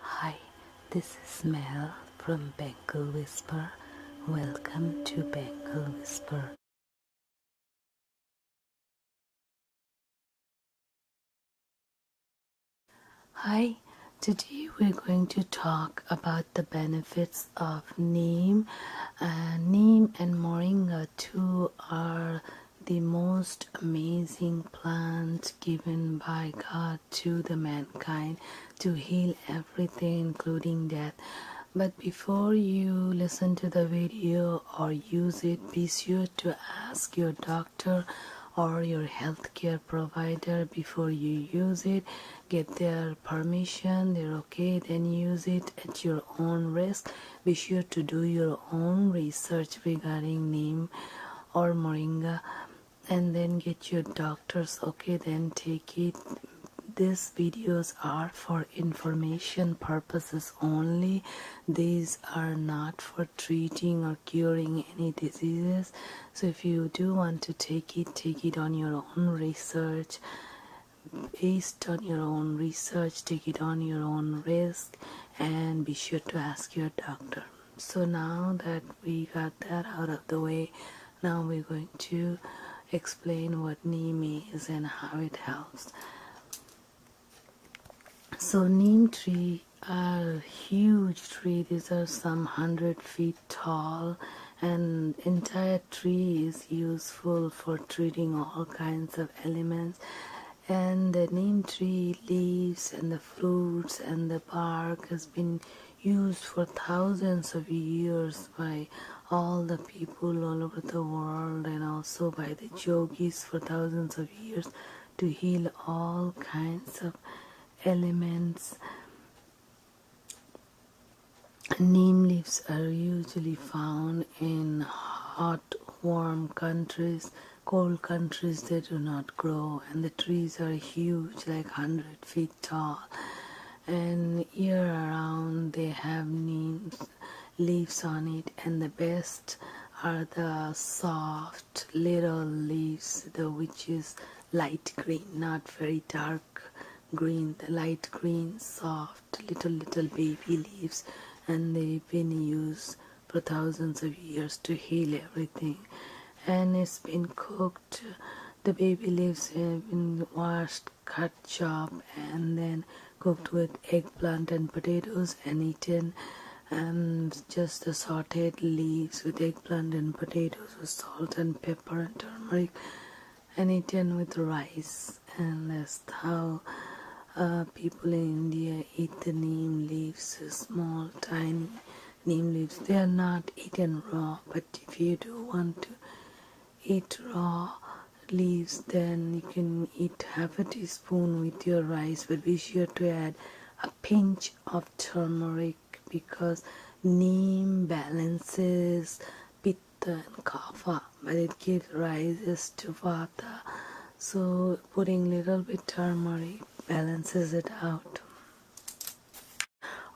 Hi, this is Mel from Bengal Whisper. Welcome to Bengal Whisper. Hi, today we're going to talk about the benefits of neem. Uh, neem and moringa, two are the most amazing plant given by God to the mankind to heal everything including death but before you listen to the video or use it be sure to ask your doctor or your healthcare provider before you use it get their permission they're okay then use it at your own risk be sure to do your own research regarding neem or moringa and then get your doctors okay then take it these videos are for information purposes only these are not for treating or curing any diseases so if you do want to take it take it on your own research based on your own research take it on your own risk and be sure to ask your doctor so now that we got that out of the way now we're going to explain what neem is and how it helps so neem tree a huge tree these are some hundred feet tall and entire tree is useful for treating all kinds of elements and the neem tree leaves and the fruits and the bark has been used for thousands of years by all the people all over the world and also by the yogis for thousands of years to heal all kinds of ailments. neem leaves are usually found in hot warm countries cold countries they do not grow and the trees are huge like 100 feet tall and year around they have leaves on it and the best are the soft little leaves the which is light green not very dark green the light green soft little little baby leaves and they've been used for thousands of years to heal everything and it's been cooked the baby leaves have been washed cut chopped and then cooked with eggplant and potatoes and eaten and um, just the sauteed leaves with eggplant and potatoes with salt and pepper and turmeric and eaten with rice and that's how uh, people in India eat the neem leaves, small, tiny neem leaves. They are not eaten raw, but if you do want to eat raw leaves, then you can eat half a teaspoon with your rice, but be sure to add a pinch of turmeric because neem balances pitta and kapha, but it gives rise to vata. So putting little bit turmeric balances it out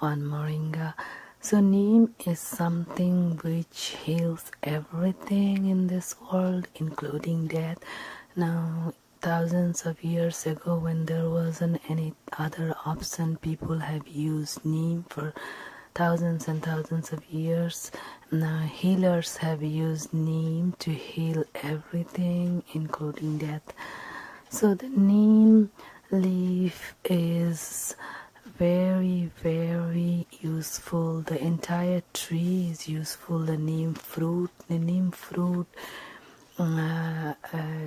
on moringa so neem is something which heals everything in this world including death now thousands of years ago when there wasn't any other option people have used neem for thousands and thousands of years now healers have used neem to heal everything including that so the neem leaf is very very useful the entire tree is useful the neem fruit the neem fruit uh, uh,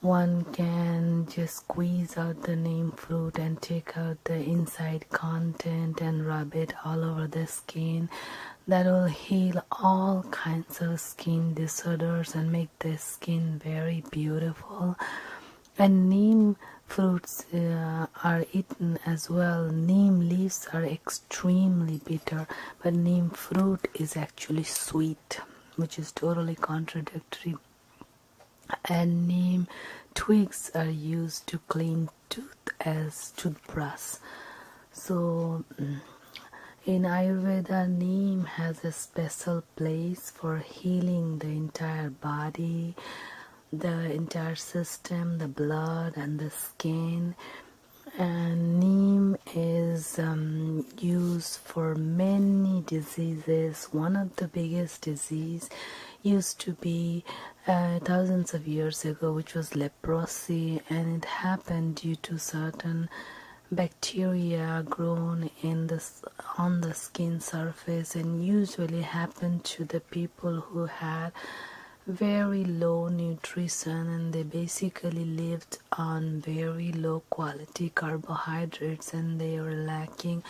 one can just squeeze out the neem fruit and take out the inside content and rub it all over the skin that will heal all kinds of skin disorders and make the skin very beautiful. And neem fruits uh, are eaten as well. Neem leaves are extremely bitter, but neem fruit is actually sweet, which is totally contradictory. And neem twigs are used to clean tooth as toothbrush so mm, in ayurveda neem has a special place for healing the entire body the entire system the blood and the skin and neem is um, used for many diseases one of the biggest disease used to be uh, thousands of years ago which was leprosy leprosy, and it happened due to certain bacteria grown in the, on the skin surface and usually happened to the people who had very low nutrition and they basically lived on very low quality carbohydrates and they were lacking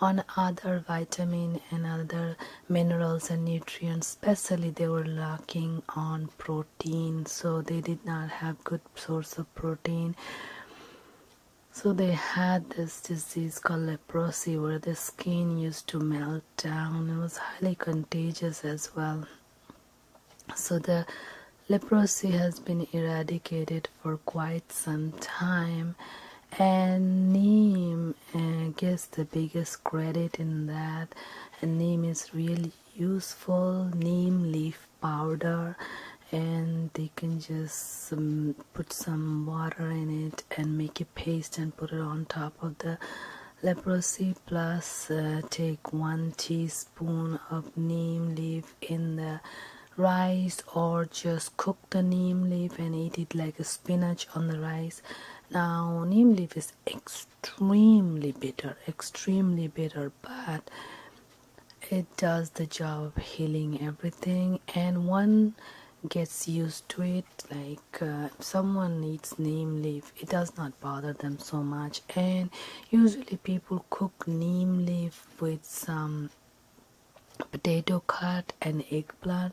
on other vitamin and other minerals and nutrients especially they were lacking on protein so they did not have good source of protein so they had this disease called leprosy where the skin used to melt down it was highly contagious as well so the leprosy has been eradicated for quite some time and neem I guess the biggest credit in that neem is really useful neem leaf powder and they can just um, put some water in it and make a paste and put it on top of the leprosy plus uh, take one teaspoon of neem leaf in the rice or just cook the neem leaf and eat it like a spinach on the rice. Now, neem leaf is extremely bitter, extremely bitter, but it does the job of healing everything, and one gets used to it like uh, someone eats neem leaf it does not bother them so much and usually people cook neem leaf with some potato cut and eggplant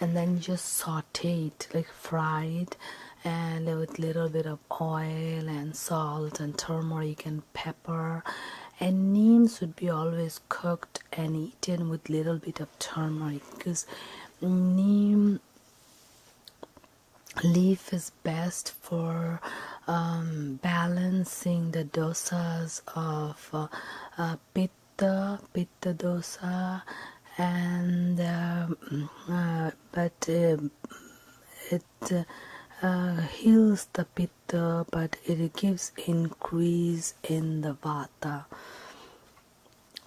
and then just saute it like fried and with little bit of oil and salt and turmeric and pepper and neem should be always cooked and eaten with little bit of turmeric because neem leaf is best for um, balancing the dosas of uh, pitta pitta dosa and uh, uh, but uh, it heals the pitta but it gives increase in the vata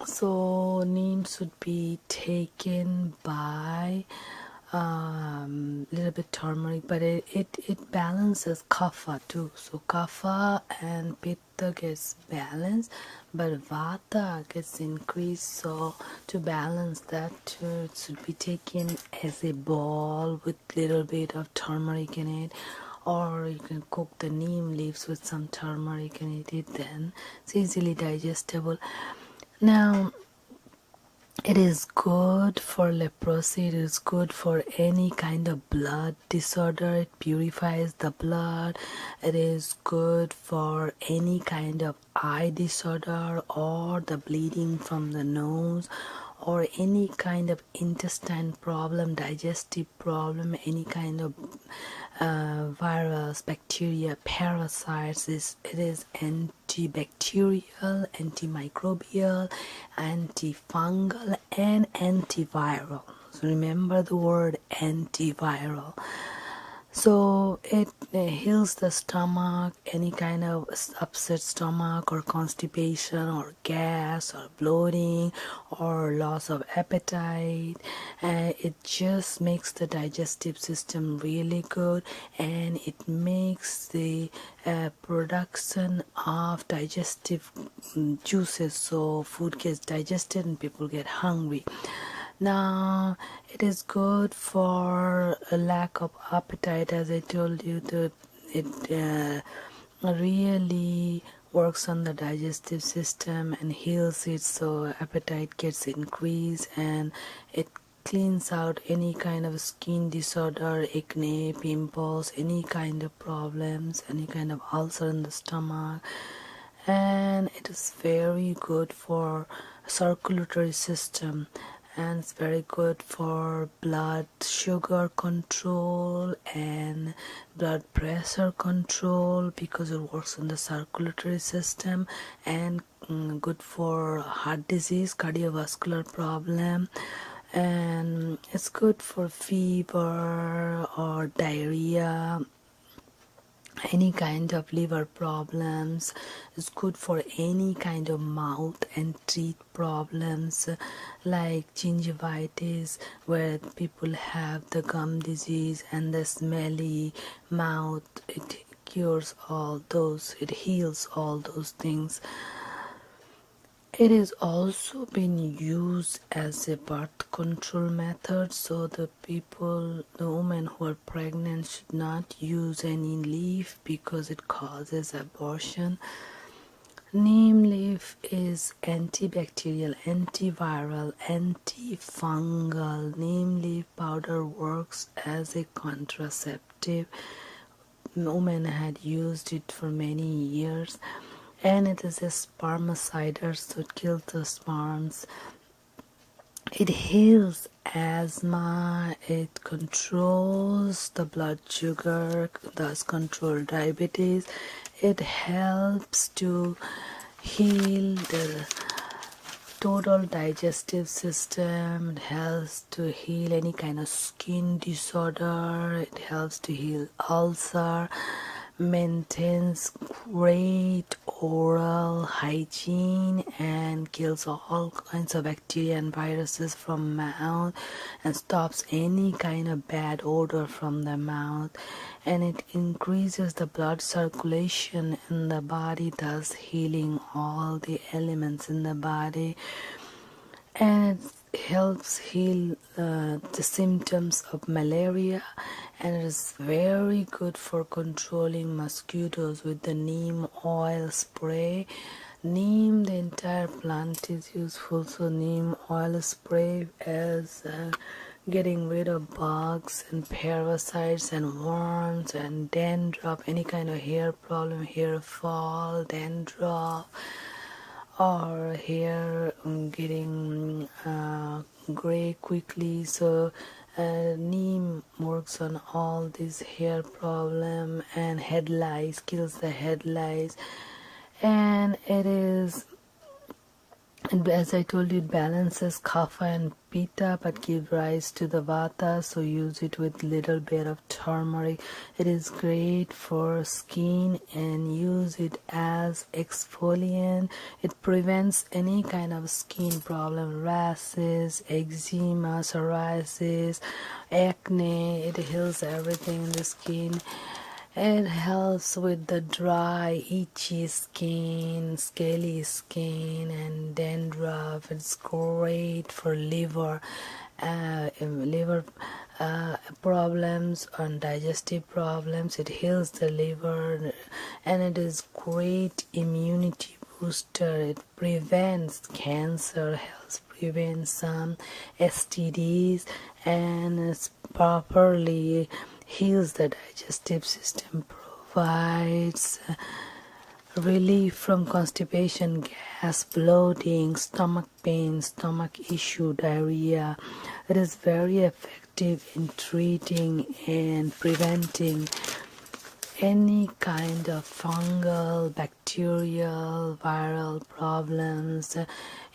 so neem should be taken by a um, little bit turmeric but it, it, it balances kapha too so kapha and pitta Chitta gets balanced, but Vata gets increased. So, to balance that, too, it should be taken as a ball with little bit of turmeric in it, or you can cook the neem leaves with some turmeric and eat it. Then it's easily digestible. Now, it is good for leprosy, it is good for any kind of blood disorder it purifies the blood it is good for any kind of eye disorder or the bleeding from the nose or any kind of intestine problem digestive problem any kind of uh, virus bacteria parasites it is antibacterial antimicrobial antifungal and antiviral remember the word antiviral so it heals the stomach any kind of upset stomach or constipation or gas or bloating or loss of appetite uh, it just makes the digestive system really good and it makes the uh, production of digestive Mm, juices so food gets digested and people get hungry now it is good for a lack of appetite as i told you that it uh, really works on the digestive system and heals it so appetite gets increased and it cleans out any kind of skin disorder acne pimples any kind of problems any kind of ulcer in the stomach and it is very good for circulatory system and it's very good for blood sugar control and blood pressure control because it works on the circulatory system and mm, good for heart disease cardiovascular problem and it's good for fever or diarrhea any kind of liver problems it's good for any kind of mouth and teeth problems like gingivitis where people have the gum disease and the smelly mouth it cures all those it heals all those things it is also been used as a birth control method so the people the women who are pregnant should not use any leaf because it causes abortion neem leaf is antibacterial antiviral antifungal neem leaf powder works as a contraceptive women had used it for many years and it is a spermicides to kill the sperms. It heals asthma, it controls the blood sugar, thus control diabetes, it helps to heal the total digestive system it helps to heal any kind of skin disorder it helps to heal ulcer maintains great oral hygiene and kills all kinds of bacteria and viruses from mouth and stops any kind of bad odor from the mouth and it increases the blood circulation in the body thus healing all the elements in the body and it helps heal uh, the symptoms of malaria and it is very good for controlling mosquitoes with the neem oil spray neem the entire plant is useful so neem oil spray as uh, getting rid of bugs and parasites and worms and dandruff any kind of hair problem hair fall dandruff or hair um, getting uh, gray quickly so uh, neem works on all these hair problem and head lice kills the head lice and it is as I told you, balances kapha and pitta but give rise to the vata, so use it with little bit of turmeric. It is great for skin and use it as exfoliant it prevents any kind of skin problem rashes eczema psoriasis acne it heals everything in the skin it helps with the dry itchy skin scaly skin and dandruff it's great for liver uh, liver uh, problems on digestive problems it heals the liver and it is great immunity booster it prevents cancer helps prevent some stds and it properly heals the digestive system provides relief from constipation gas bloating stomach pain, stomach issue, diarrhea. It is very effective in treating and preventing any kind of fungal, bacterial, viral problems.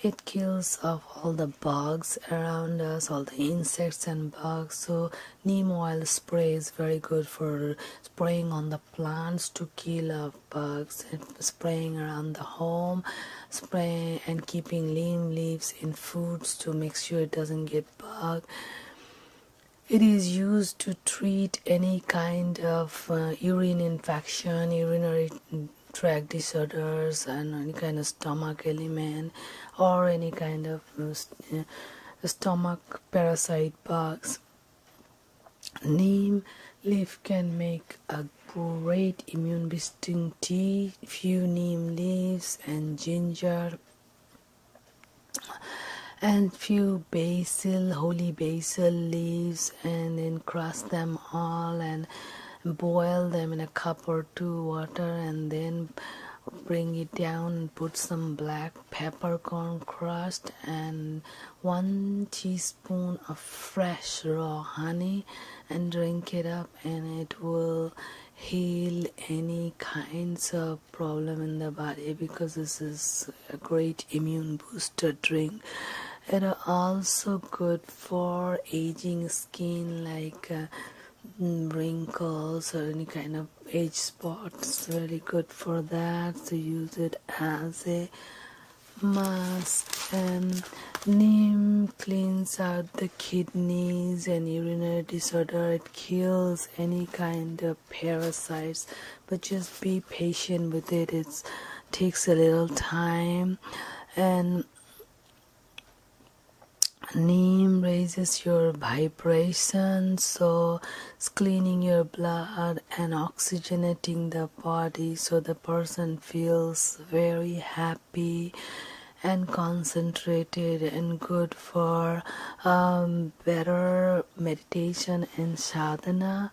It kills off all the bugs around us, all the insects and bugs. So neem oil spray is very good for spraying on the plants to kill off bugs spraying around the home spraying and keeping neem leaves in foods to make sure it doesn't get bugged it is used to treat any kind of uh, urine infection urinary tract disorders and any kind of stomach ailment or any kind of uh, uh, stomach parasite bugs neem leaf can make a a great immune boosting tea few neem leaves and ginger and few basil holy basil leaves and then crush them all and boil them in a cup or two water and then bring it down and put some black peppercorn crust and one teaspoon teaspoon of fresh raw honey and drink it up and it will heal any kinds of problem in the body because this is a great immune booster drink it are also good for aging skin like uh, wrinkles or any kind of age spots very good for that so use it as a mask and um, neem cleans out the kidneys and urinary disorder it kills any kind of parasites but just be patient with it it takes a little time and neem raises your vibration so it's cleaning your blood and oxygenating the body so the person feels very happy and concentrated and good for um, better meditation and sadhana.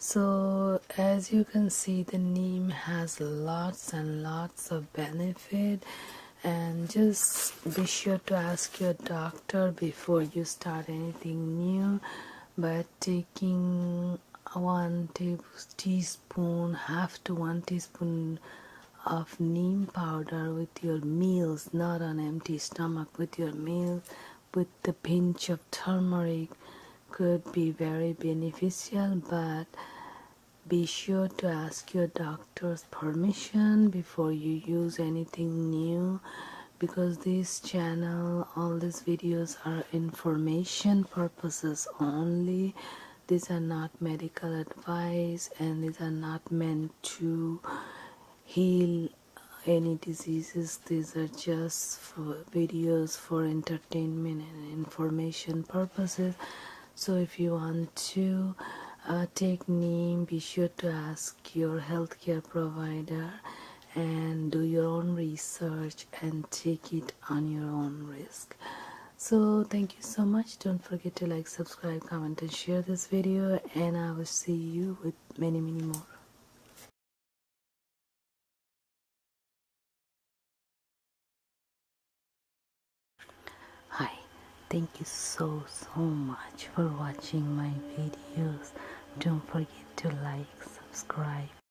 So, as you can see, the neem has lots and lots of benefit. And just be sure to ask your doctor before you start anything new. But taking one table, teaspoon half to one teaspoon of neem powder with your meals not on empty stomach with your meal with the pinch of turmeric could be very beneficial but be sure to ask your doctor's permission before you use anything new because this channel all these videos are information purposes only these are not medical advice and these are not meant to heal uh, any diseases these are just videos for entertainment and information purposes so if you want to uh, take name be sure to ask your healthcare provider and do your own research and take it on your own risk so thank you so much don't forget to like subscribe comment and share this video and i will see you with many many more hi thank you so so much for watching my videos don't forget to like subscribe